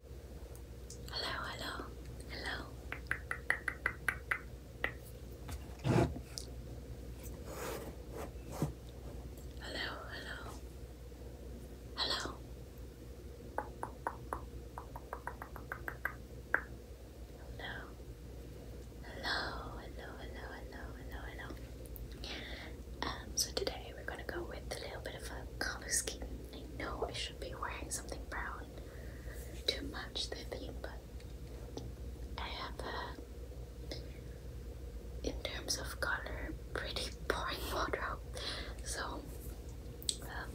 Hello, hello, hello. Hello, hello. Hello. Hello. Hello, hello, hello, hello, hello, hello. Um, so today we're gonna go with a little bit of a color scheme. I know should be wearing something brown to match the theme, but I have in terms of color, pretty boring wardrobe. So um,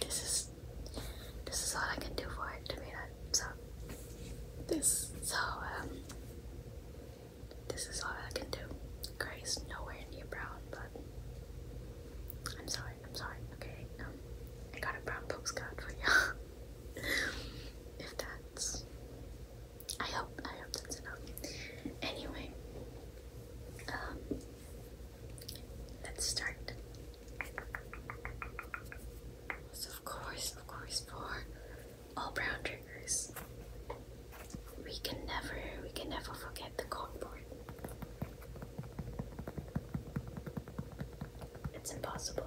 this is this is all I can do for it to be that. So this so um this is all I can do. Grey nowhere near brown, but I'm sorry, I'm sorry, okay, um, I got a brown postcard for you, if that's, I hope, I hope that's enough, anyway, um, let's start, of course, of course, for all brown triggers, we can never, we can never forget the cardboard. It's impossible.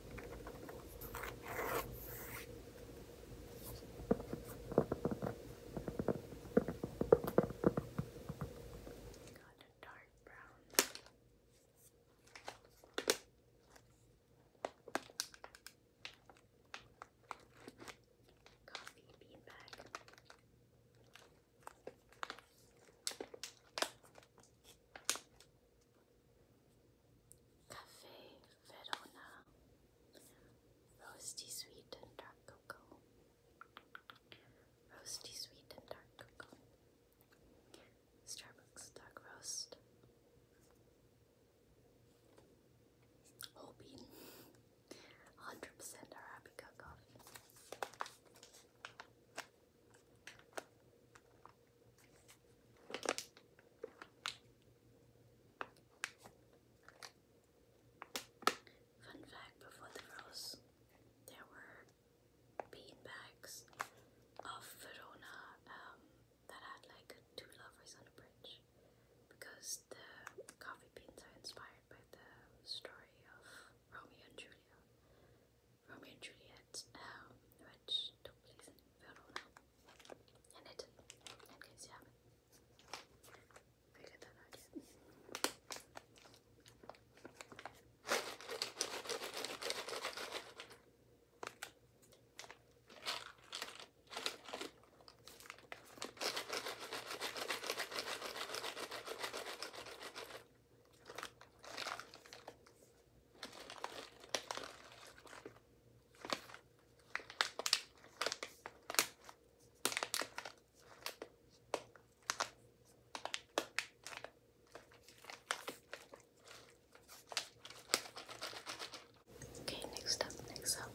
Got a dark brown. Coffee bean bag. Got Cafe Verona Roasty Sweet and Dark Cocoa Roasty Sweet and Dark Cocoa Starbucks Dark Roast Whole bean 100% Arabica coffee Fun fact before the rose, there were bean bags of Verona um, that had like two lovers on a bridge because the coffee beans are inspired by the story of Romeo and Julia. Romeo and Juliet, um, which took place in Verona and Italy, in case you haven't figured that out Okay, next up, next up.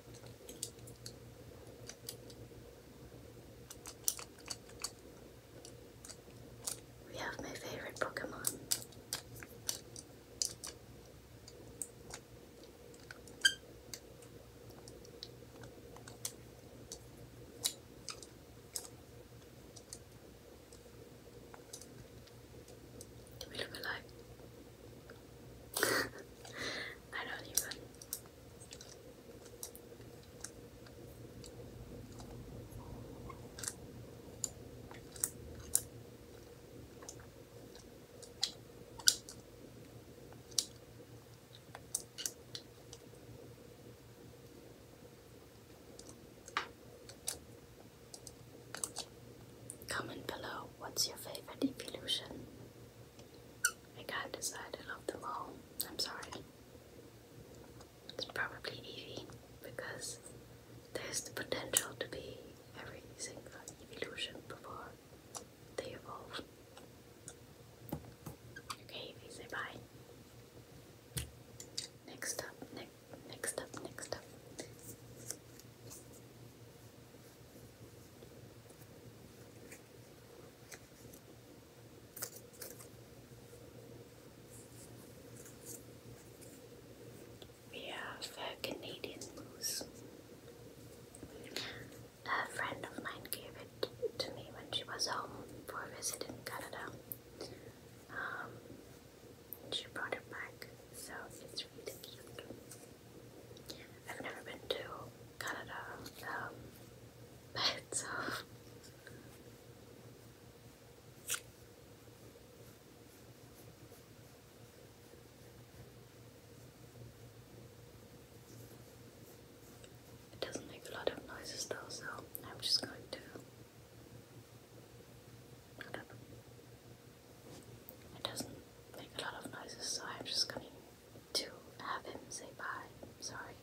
We have my favorite Pokemon. Do we look alike? I don't even. Comment below what's your favorite evolution. I can't decide, I love them all. I'm sorry. It's probably Eevee because there's the potential to be every single evolution before they evolve. Okay, Eevee, say bye. Next up, ne next up, next up. We have a Canadian goose. A friend of mine gave it to me when she was home for a visit in Canada. Um, she brought it back, so it's really cute. I've never been to Canada, um, but it doesn't make a lot of noises though, so I'm just going to look It doesn't make a lot of noises, so I'm just going to have him say bye. Sorry.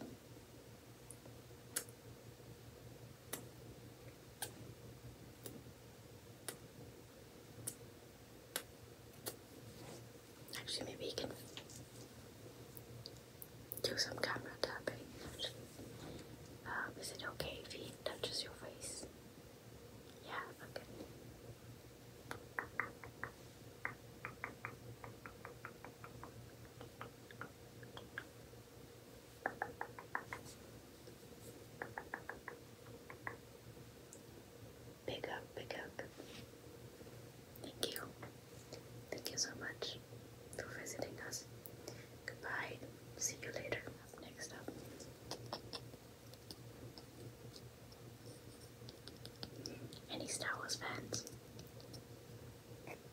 Actually, maybe you can do some camera tapping. Um, is it okay if he touches your face? Yeah, okay. Big up, big up. Thank you. Thank you so much for visiting us. Goodbye. See you later. Next up. Any Star Wars fans?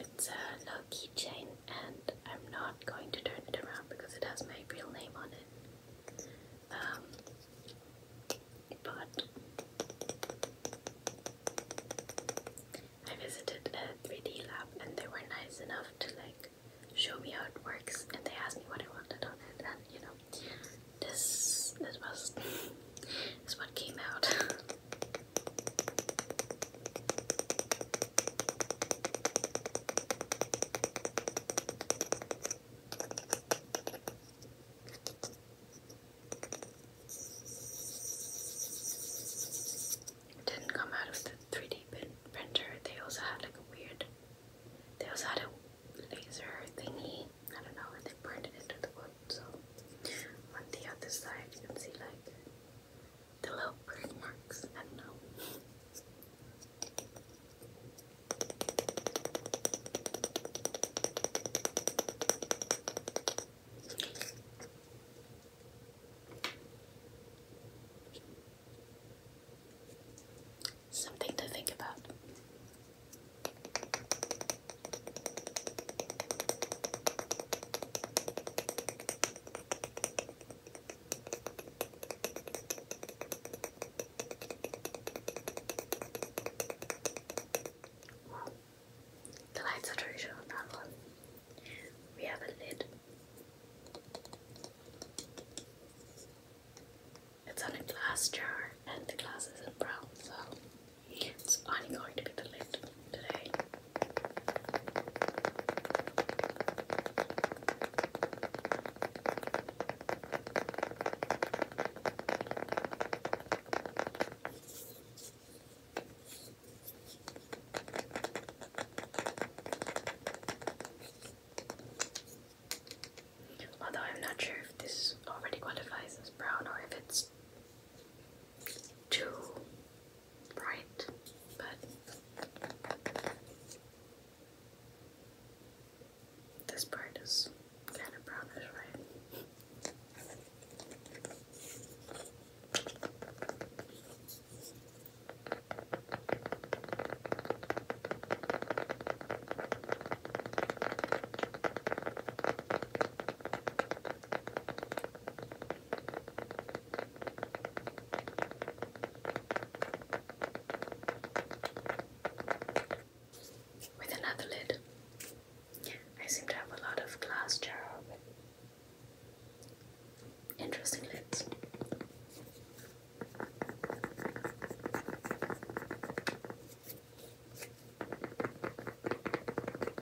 It's a low chain, and I'm not going to turn it around because it has my real name on it. Um, but I visited a 3D lab, and they were nice enough to like show me how it works, and they asked me what I wanted on it, and you know, this this was this is what came out. It didn't come out of the 3D printer. They also had like a weird, they also had a laser thingy. I don't know, and they burned it into the wood. So on the other side, you can see like the little bird marks. I don't know. Something to think about. The lights are tradition on that one. We have a lid. It's on a glass jar and the glass is brown, so it's only going to be the lid today. Although I'm not sure if this already qualifies as brown or if it's too bright, but this part is kind of brownish, right? With another lid, I seem to have a lot of glass jar interesting lids.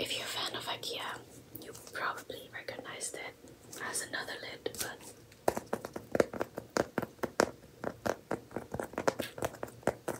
If you're a fan of IKEA, you probably recognize that as another lid, but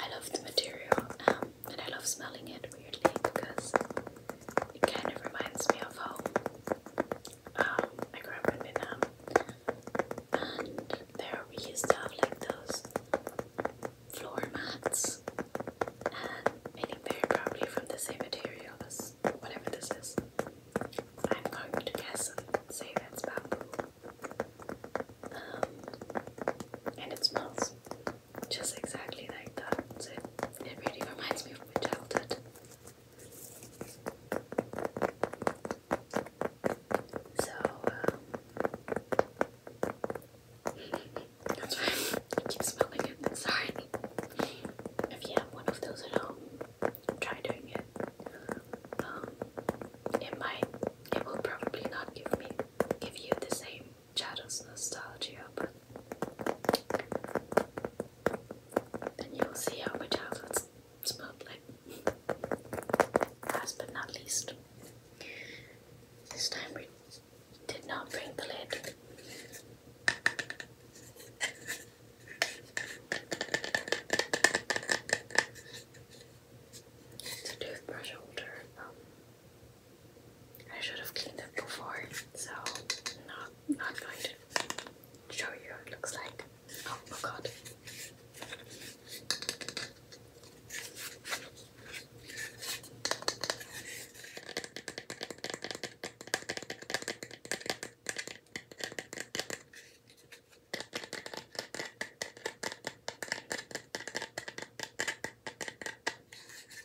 I love the material um, and I love smelling it weirdly because it kind of reminds me of home. I grew up in Vietnam, and there we used to have like those floor mats, and I think probably from the same material whatever this is. I'm going to guess and say that's bamboo. Um, and it smells just exactly like that. So it really reminds me from your childhood. So, uh, that's why I keep smelling it. Sorry. If you have one of those at home, try doing it. Um, it might, it will probably not give me, give you the same shadows nostalgia, then you will see how my childhood smelled like. Last but not least, this time we did not bring the lid. It's a toothbrush holder. Um, I should have cleaned it before, so not I'm going to show you what it looks like. Oh my god.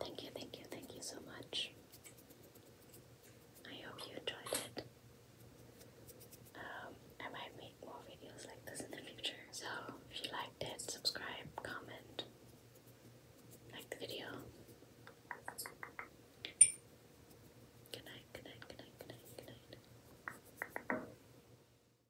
Thank you, thank you, thank you so much. I hope you enjoyed it. Um, I might make more videos like this in the future. So if you liked it, subscribe, comment, like the video. Good night, good night, good night, good night, good night.